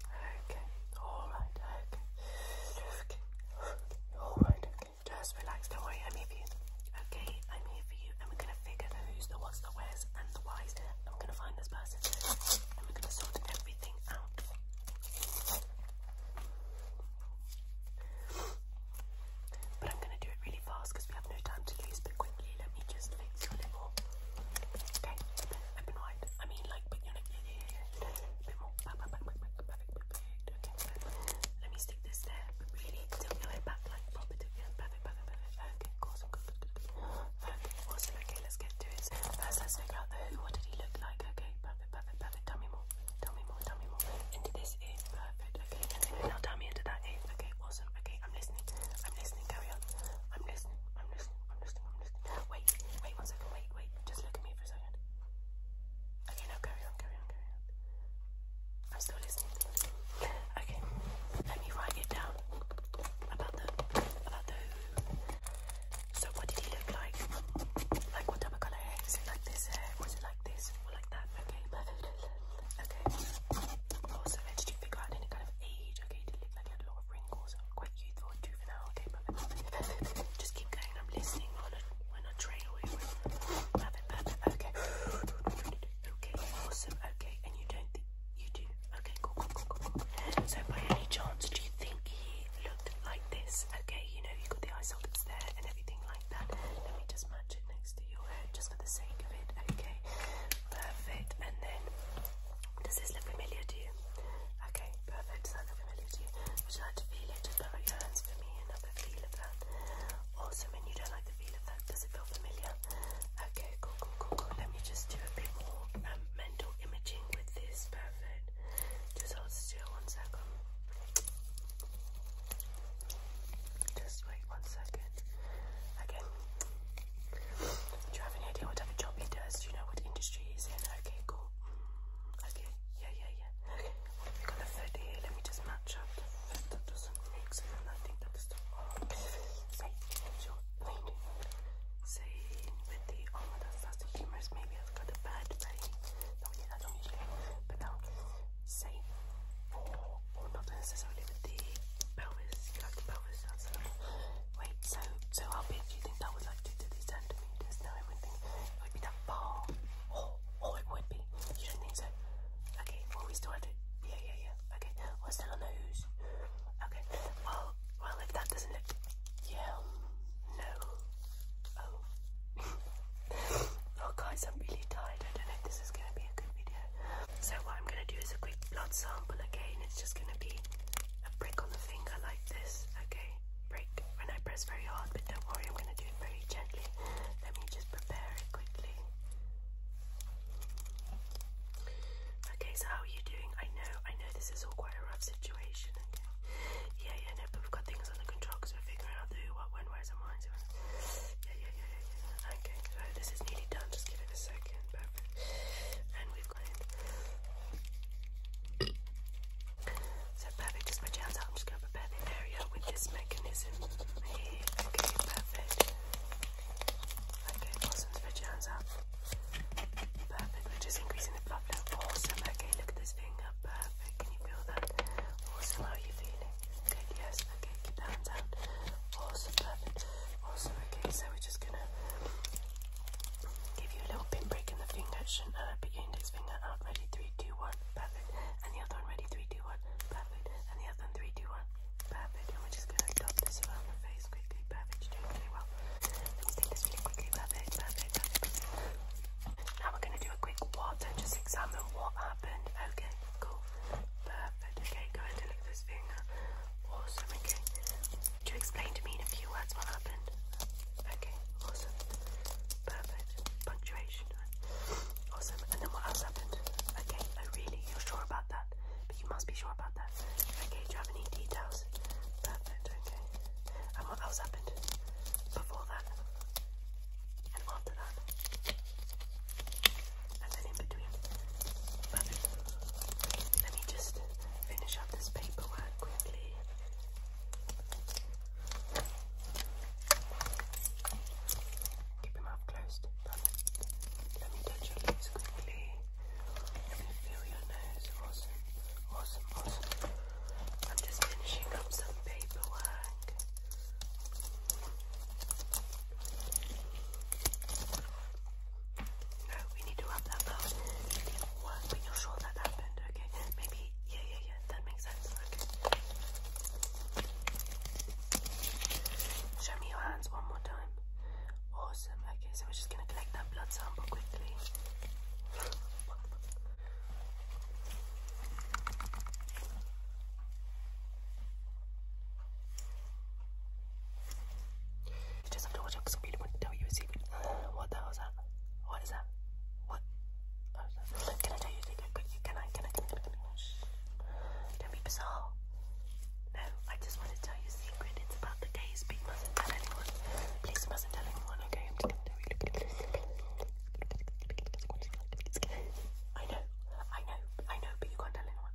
Okay, alright, okay. Okay, alright, okay. Just relax, don't worry, I'm here for you. Okay, I'm here for you, and we're gonna figure the who's, the what's, the where's, and the why's. And we're gonna find this person, and we're gonna sort everything out. But I'm gonna do it really fast because we have no time to lose. But quickly, let me just fix your lip. Okay, open wide. I mean, like, put your lip. Yeah, let me stick this there, really tilt your head Perfect, perfect, perfect. Okay, awesome, good, good, Okay, awesome. Okay, let's get to it. first, let's figure out the who. What did he look like? Okay, perfect, perfect, perfect. Tell me more. Tell me more. Tell me more. Into this ear. Perfect. Okay, now tell me into that Okay, awesome. Okay, I'm listening. I'm listening. Carry on. I'm listening. I'm listening. I'm listening. Wait, wait one second, wait, wait. Just look at me for a second. Okay, now carry on, carry on, carry on. I'm still listening. Okay, let me write it down about the about the So what did he look like? Like what type of colour hair? Is it like this hair? Was it like this or like that? Okay, perfect. Okay. Also, did you figure out any kind of age? Okay, did he look like he had wrinkles. quite youthful and juvenile. Okay, Just keep going. I'm listening when I, when I trail you. perfect. Okay. Okay, awesome. Okay, and you don't think you do? Okay, cool, cool, cool, cool, cool. So, by any chance, do you think he looked like this? Okay, you know, you got the eye sockets there and everything like that. Let me just match it next to your head just for the sake of it. Okay, perfect. And then does this look familiar to you? Okay, perfect. Does that look familiar to you? Would you like to feel it? put your hands for me and feel of that. Awesome. And you don't like the feel of that? Does it feel familiar? Okay, cool, cool, cool, cool. Let me just do a bit more um, mental imaging with this. Perfect. Just hold still one second. Just wait one second. Okay. Do you have any idea what type of job he does? Do you know what industry he's in? Okay, cool. Okay, yeah, yeah, yeah. Okay, we got the foot here? Let me just match up that doesn't mix and I think that's the arm. Say, your lane. Say, the oh, that's, the humerus. Maybe I've got a bad belly. No, yeah, I usually. But now, say, or, or not necessarily with You like the pelvis, Wait, so so how big do you think that would like to do this centimeters? No, I wouldn't think it would be that far. Oh, oh, it would be. You don't think so? Okay, well we still had it. Yeah, yeah, yeah. Okay, we're still Okay, well, well if that doesn't look, yeah, um, no. Oh, oh guys, I'm really tired. I don't know if this is gonna be a good video. So what I'm gonna do is a quick blood sample again. It's just gonna be a prick on the finger like this, okay? Break when I press very hard, but don't worry, I'm gonna do it very gently. Let me just prepare it quickly. Okay, so how are you doing? I know, I know this is all quite a rough situation, Yeah, yeah, no, but we've got things under control because we're figuring out who, what, when, where's and why. yeah, yeah, yeah, yeah, yeah. Okay, so this is nearly done, just give it a second, perfect. So perfect, just my chance out. I'm just going to prepare the area with this mechanism here. Okay, perfect. Okay, awesome, my chance out. Perfect, we're increasing the fluff now. Awesome, okay, look at this finger. Perfect, can you feel that? Awesome, how you feeling? Good, yes, okay, keep hands out. Awesome, perfect. Awesome, okay, so we're just going to Give you a little pin pinprick in the finger, shouldn't hurt, your index finger up. Ready, three, two, one, perfect. And the other one, ready, three, two, one, perfect. And the other one, three, two, one, perfect. And we're just gonna dot this around the face quickly, perfect. You're doing very well. Let's take this really quickly, perfect, perfect, Now we're gonna do a quick what and just examine what happened. Okay, cool, perfect. Okay, go ahead and look at this finger. Awesome, okay. Would you explain to me in a few words what happened? Okay, awesome. Perfect. Punctuation. Awesome. And then what else happened? Okay, oh really? You're sure about that? But you must be sure about that. Okay, do you have any details? Perfect, okay. And what else happened? Before that? And after that? And then in between? Perfect. Let me just finish up this paperwork quickly. Keep your mouth Let me touch your lips quickly. Let me feel your nose. Awesome, awesome, awesome. I'm just finishing up some paperwork. No, we need to wrap that up. It did you're sure that happened, okay? Maybe, yeah, yeah, yeah, that makes sense, okay. Show me your hands one more time. Awesome, okay, so we're just gonna collect that blood sample quickly just have to watch out because I'm really want to tell you a secret. What the hell is that? What is that? What? Can I tell you a secret? Can I? Can I? Don't be bizarre. No, I just want to tell you a secret. It's about the gays, but mustn't tell anyone. Please, mustn't tell anyone, okay? I'm just going to tell you. I know, I know, I know, but you can't tell anyone.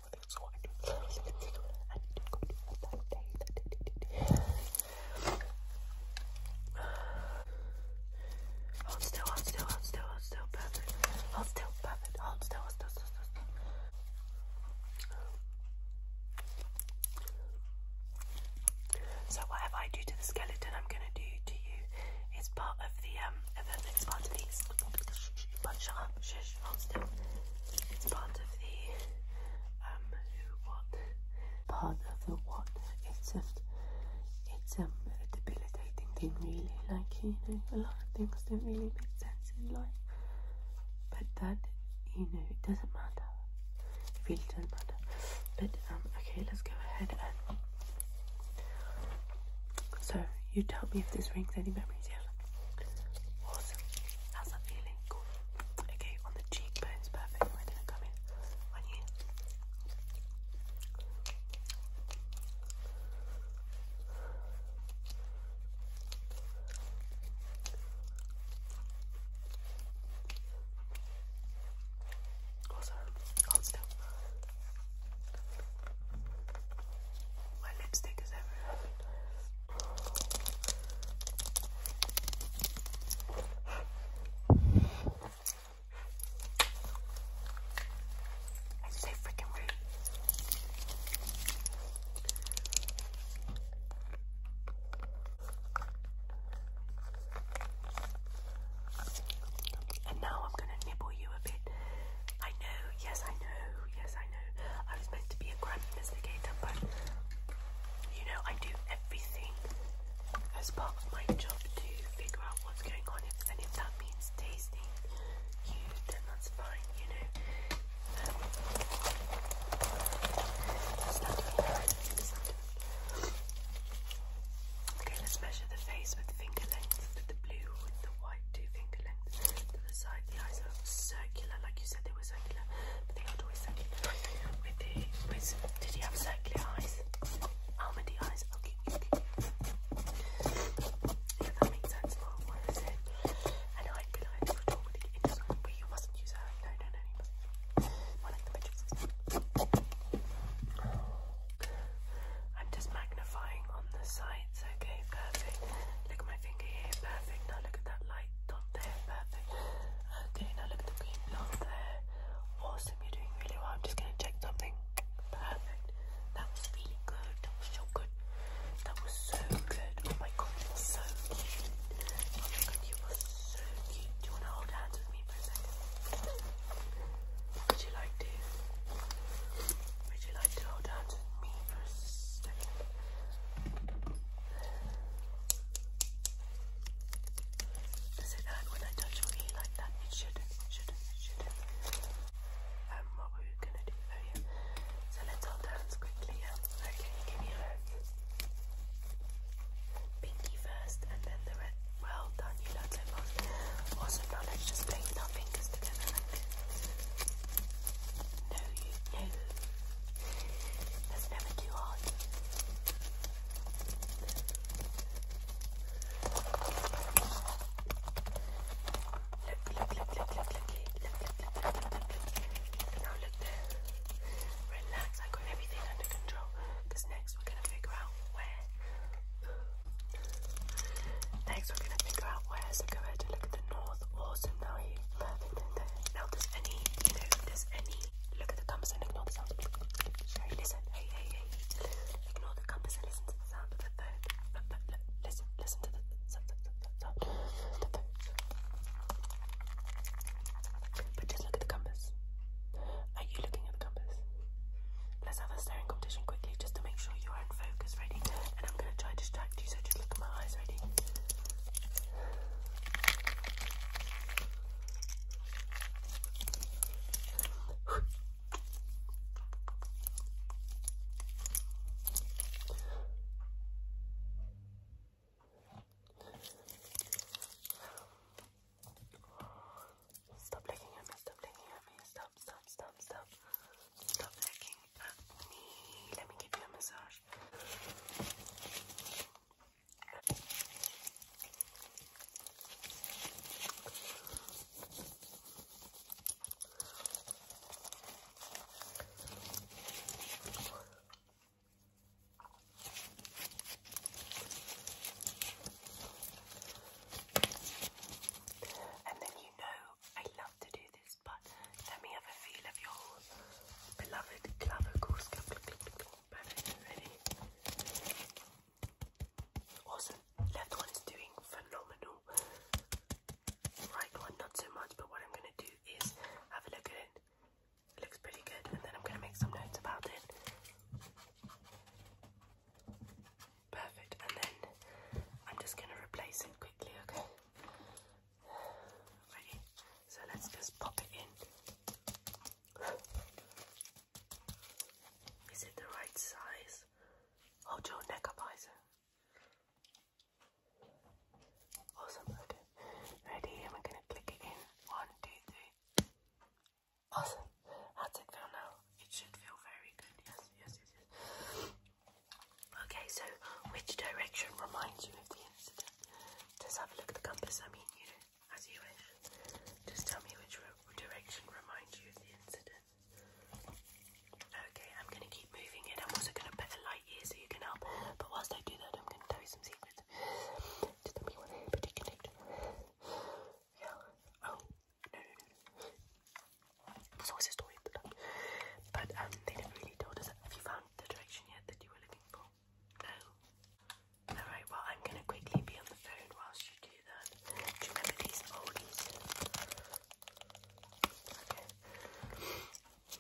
us with its Hold still, hold still, hold still, hold still, perfect. Hold still, perfect. Hold still, hold still, still, still. So whatever I do to the skeleton, I'm gonna do to you. It's part of the um, of next part of the. But Shush, still. It's part of the um what part of the what. It's just it's um, a debilitating thing really. Like you know, a lot of things don't really make sense in life. But that you know it doesn't matter. It really doesn't matter. But um okay let's go ahead and so you tell me if this rings any memories, yes? Awesome. How's that feeling? Cool. Okay, on the cheekbones, perfect. We're gonna come in on you. Awesome. Hold my lipstick is everywhere. I say freaking rude. And now I'm going to nibble you a bit I know, yes, I know, yes, I know. I was meant to be a crime investigator, but you know, I do everything as part of my job to figure out what's going on, and if that means tasting you, then that's fine, you know. Um, it's okay, let's measure the face with finger lengths, the blue, with the white, two finger lengths, the eyes are circular, like you said they were circular, but they aren't always circular. did you have circular eyes? Almondy eyes. Okay, okay. that makes sense. Well, what I And I feel like for talking, it doesn't. But you mustn't use her. No, no, no, you mustn't. the pictures. I'm just magnifying on the sides. Okay, perfect. Look at my finger perfect. Now look at that light dot there, perfect. Okay, now look at the green there. Awesome, you're doing really well. I'm just gonna check something. Perfect. That was really good. That was so good. That was so good. Oh my god, so cute. you were so cute. Do you wanna hold hands with me for a second? Would you like to? Would you like to hold on to me for a second? Does it hurt when I touch your like that? It shouldn't, shouldn't, shouldn't. Um, what were we gonna do? Oh yeah. So let's hold hands quickly, yeah? Okay, give me your Pinky first and then the red. Well done, you learned so now let's just play our fingers together no, you, no. That's never too hard. Look, look, look, look, look, look, look, look, look, look, look, look, look. Now look there. Relax, I got everything under control. next we're gonna figure out where Next, we're going to figure out where. So go ahead and look at the north or Sunai. Perfect Now, there's any, you any. Look at the compass and ignore the sound. Sorry, listen. Hey, hey, hey. Ignore the compass and listen to the sound of the phone. listen, listen to the sound of the phone. But just look at the compass. Are you looking at the compass? Let's have a staring competition quickly just to make sure you are try and focus, ready? And I'm going to try to distract you, so just look at my eyes, ready? Stop looking at me, stop looking at me, stop, stop, stop, stop. Stop looking let me give you a massage. And then you know I love to do this this, but let me have a feel of your beloved clavicles. Perfect, ready? Awesome. Left one is doing phenomenal. Right one, not so much, but what I'm going to do is have a look at it. It looks pretty good, and then I'm going to make some notes about it. Perfect. And then I'm just going to replace it quickly, okay? Ready? So let's just pop it in. Is it the right size? Hold your neck up, Isa. Awesome, Ready? And we going to click it in. One, two, three. Awesome. How's it feel now? It should feel very good. Yes, yes, yes, Okay, so which direction reminds you of the incident? Just have a look at the compass, I mean, you know, as you wish. Just tell me which direction reminds you of the incident. Okay, I'm going to keep moving it. I'm also going to put a light here so you can help. But whilst I do that, I'm going to tell you some secrets. Just tell me what particular. Yeah. Oh, no, no, no. So always a story to that. But um, they didn't really tell us. Have you found the direction yet that you were looking for? No. Alright, well, I'm gonna quickly be on the phone whilst you do that. Do you remember these oldies?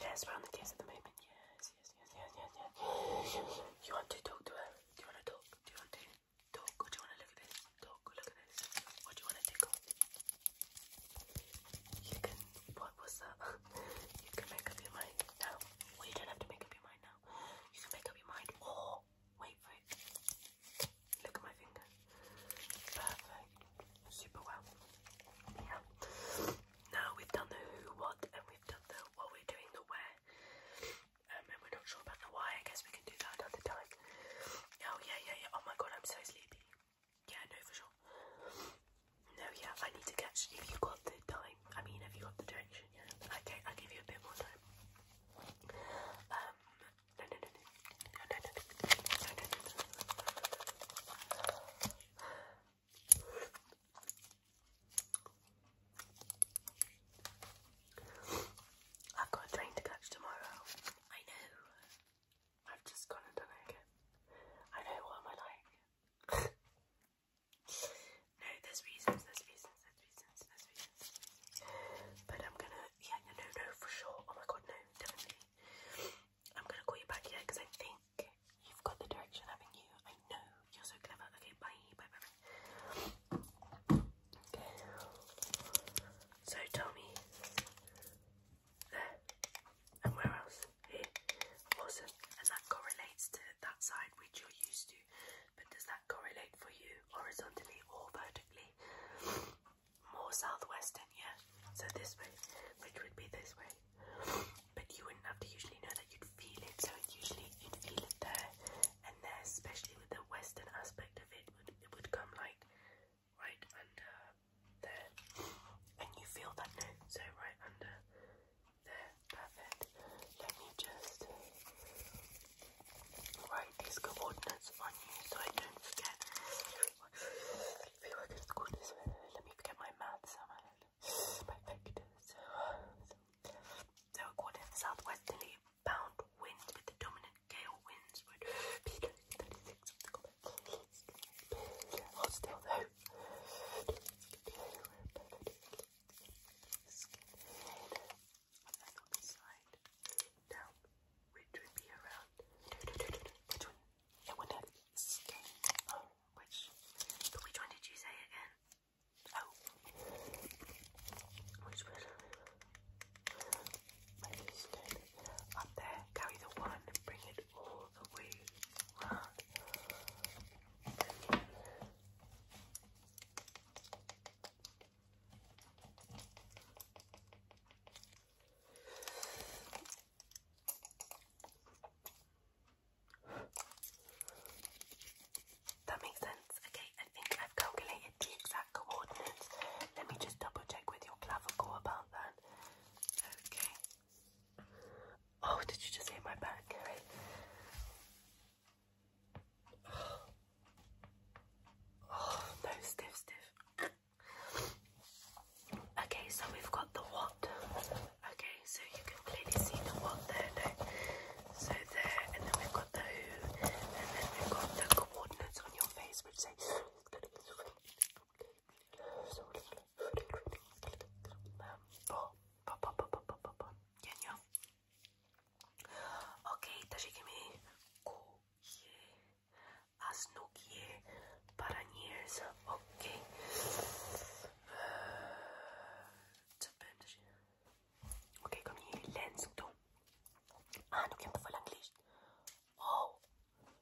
Yes, we're on the case at the moment. Yes, yes, yes, yes, yes, You want to talk to her? Do you want to talk? Do you want to talk? Or do you want to look at this? Talk, look at this. What do you want to tickle? You can, what was that? you can make up your mind now. Well, you don't have to make up your mind now. You can make up your mind or wait for it. Look at my finger. Perfect. Super well. Yeah. Now we've done the who, what, and we've done the what we're doing, the where. Um, and we're not sure about the why. I guess we can do that another time. Oh, yeah, yeah, yeah. Oh my god, I'm so sleepy. Yeah, no, for sure. No, yeah, I need to catch. If you got the time, I mean, have you got the direction? Yeah. Okay, I'll give you a bit more time. Um, no, no, no, no, no, no, no, no, no, no, no, no. I've got a train to catch tomorrow. I know. I've just gone and done it again. I know, what am I like? no, there's reasons, there's reasons, there's reasons, there's reasons. But I'm gonna, yeah, no, no, for sure. Oh my god, no, definitely. I'm gonna call you back, yeah, because I think you've got the direction, haven't you? I know, you're so clever. Okay, bye, bye, bye, bye. Okay. So tell me, there, and where else? Here, awesome. And that correlates to that side which you're used to. But does that correlate for you horizontally or vertically? More southwestern, yeah. So this way, which would be this way. But you wouldn't have to usually know that you'd feel it. So usually you'd feel it there and there, especially with the western aspect of it. Would it would come like right under there, and you feel that note, so right under there, perfect. Let me just write these coordinates on you so I don't forget. I feel like it's called this way. Let me forget my maths and my vectors. So, according to the southwesterly bound winds with the dominant gale winds would be 36 of the Hold still there. And then on the side, down, which would be around, which one? It would have skin. Oh, which? But which one did you say again? Oh, which one? Up there, carry the one bring it all the way round. That makes sense. Okay, I think I've calculated the exact coordinates. Let me just double check with your clavicle about that. Okay. Oh, did you just hit my back? Oh. no, stiff, stiff. Okay, so we've got the what? Okay, so you can clearly see the what there, So there, and then we've got the who, and then we've got the coordinates on your face, which say Genio. Okej, takže mi kuje a snukje para nierza. Okej. Co będzie? Okej, kom hier lens toe. Ah, nu kan ik wel Engels. Oh.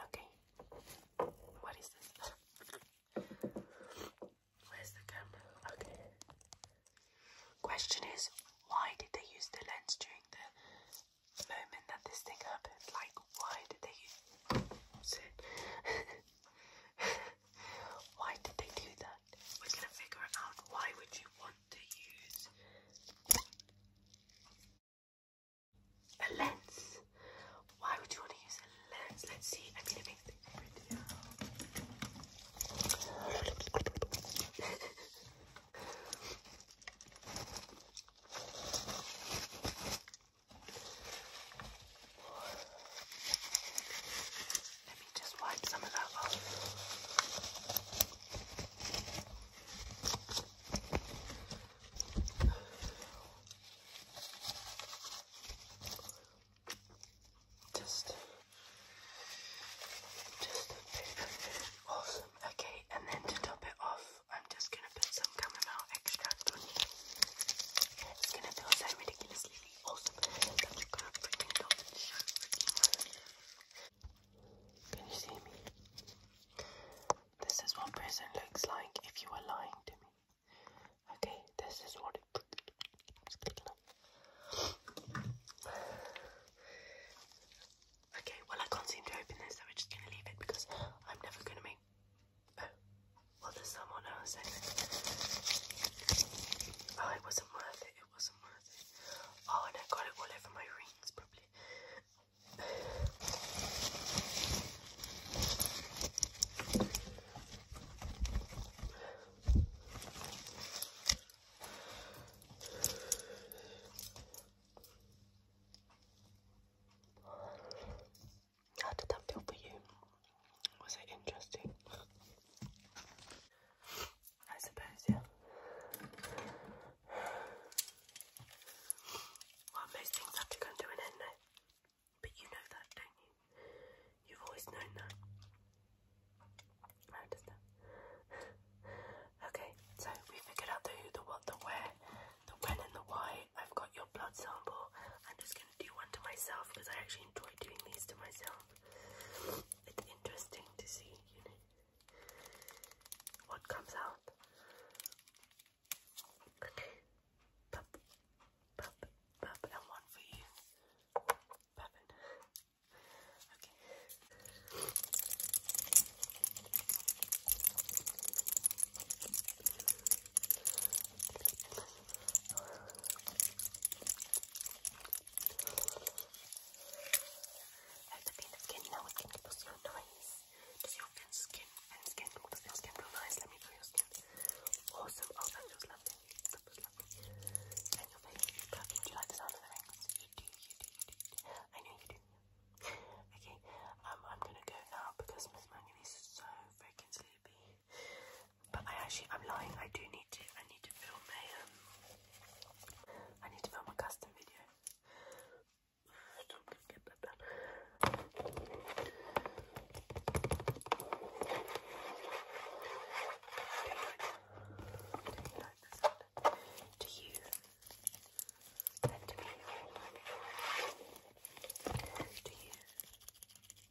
Okay. What is this? Where's the camera? Okay. Question is, why did they use the lens during the moment that this thing happened? Like, why did they use it? why did they do that? We're gonna figure out. Why would you want to use a lens? Why would you want to use a lens? Let's see. Let me just wipe some of that off. Just, just a bit. Awesome. Okay, and then to top it off, I'm just gonna put some chamomile extract on you. It's gonna feel so ridiculously can you see me? This is what prison looks like if you were lying to me. Okay, this is what it. Okay, well I can't seem to open this, so we're just gonna leave it because I'm never gonna make. Well, to someone else, and oh, it wasn't worth it. It wasn't worth it. Oh, and I got it all over my rings, probably. How did that feel for you? Was it interesting? I suppose, yeah. Well, most things have to come to an end now. But you know that, don't you? You've always known that. I understand. okay, so we figured out the who, the what, the where, the when and the why. I've got your blood sample. I'm just to do one to myself because I actually enjoy doing these to myself. It's interesting to see, you know, what comes out. Okay, pop, pop, and one for you. Pop Okay. Have the pain of skin now it can look so nice. Does your thin skin and skin look thin skin real nice? Let me do your skin. Awesome. Oh that feels lovely. That feels lovely. And your face is perfect. Do you like the sound of the rings? You do, you do, you do. I know you do. okay, um I'm gonna go now because Miss Manganese is so freaking sleepy. But I actually, I'm lying. I do need to. I need to film my. Um, I need to film a custom video. Do you like the do you? Do you?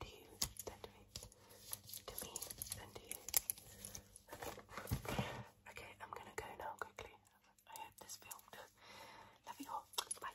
to you than me. To me than to you. Okay. I'm gonna go now quickly. I hope this filmed. Love you all. Bye.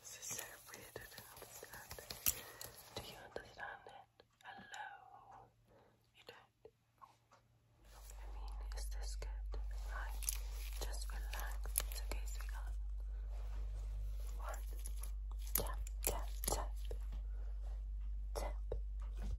This is so weird, don't understand. Do you understand it? Hello? You don't? I mean, is this good? Like, just relax. It's okay, sweetheart. One. Tap, tap, tap. Tap.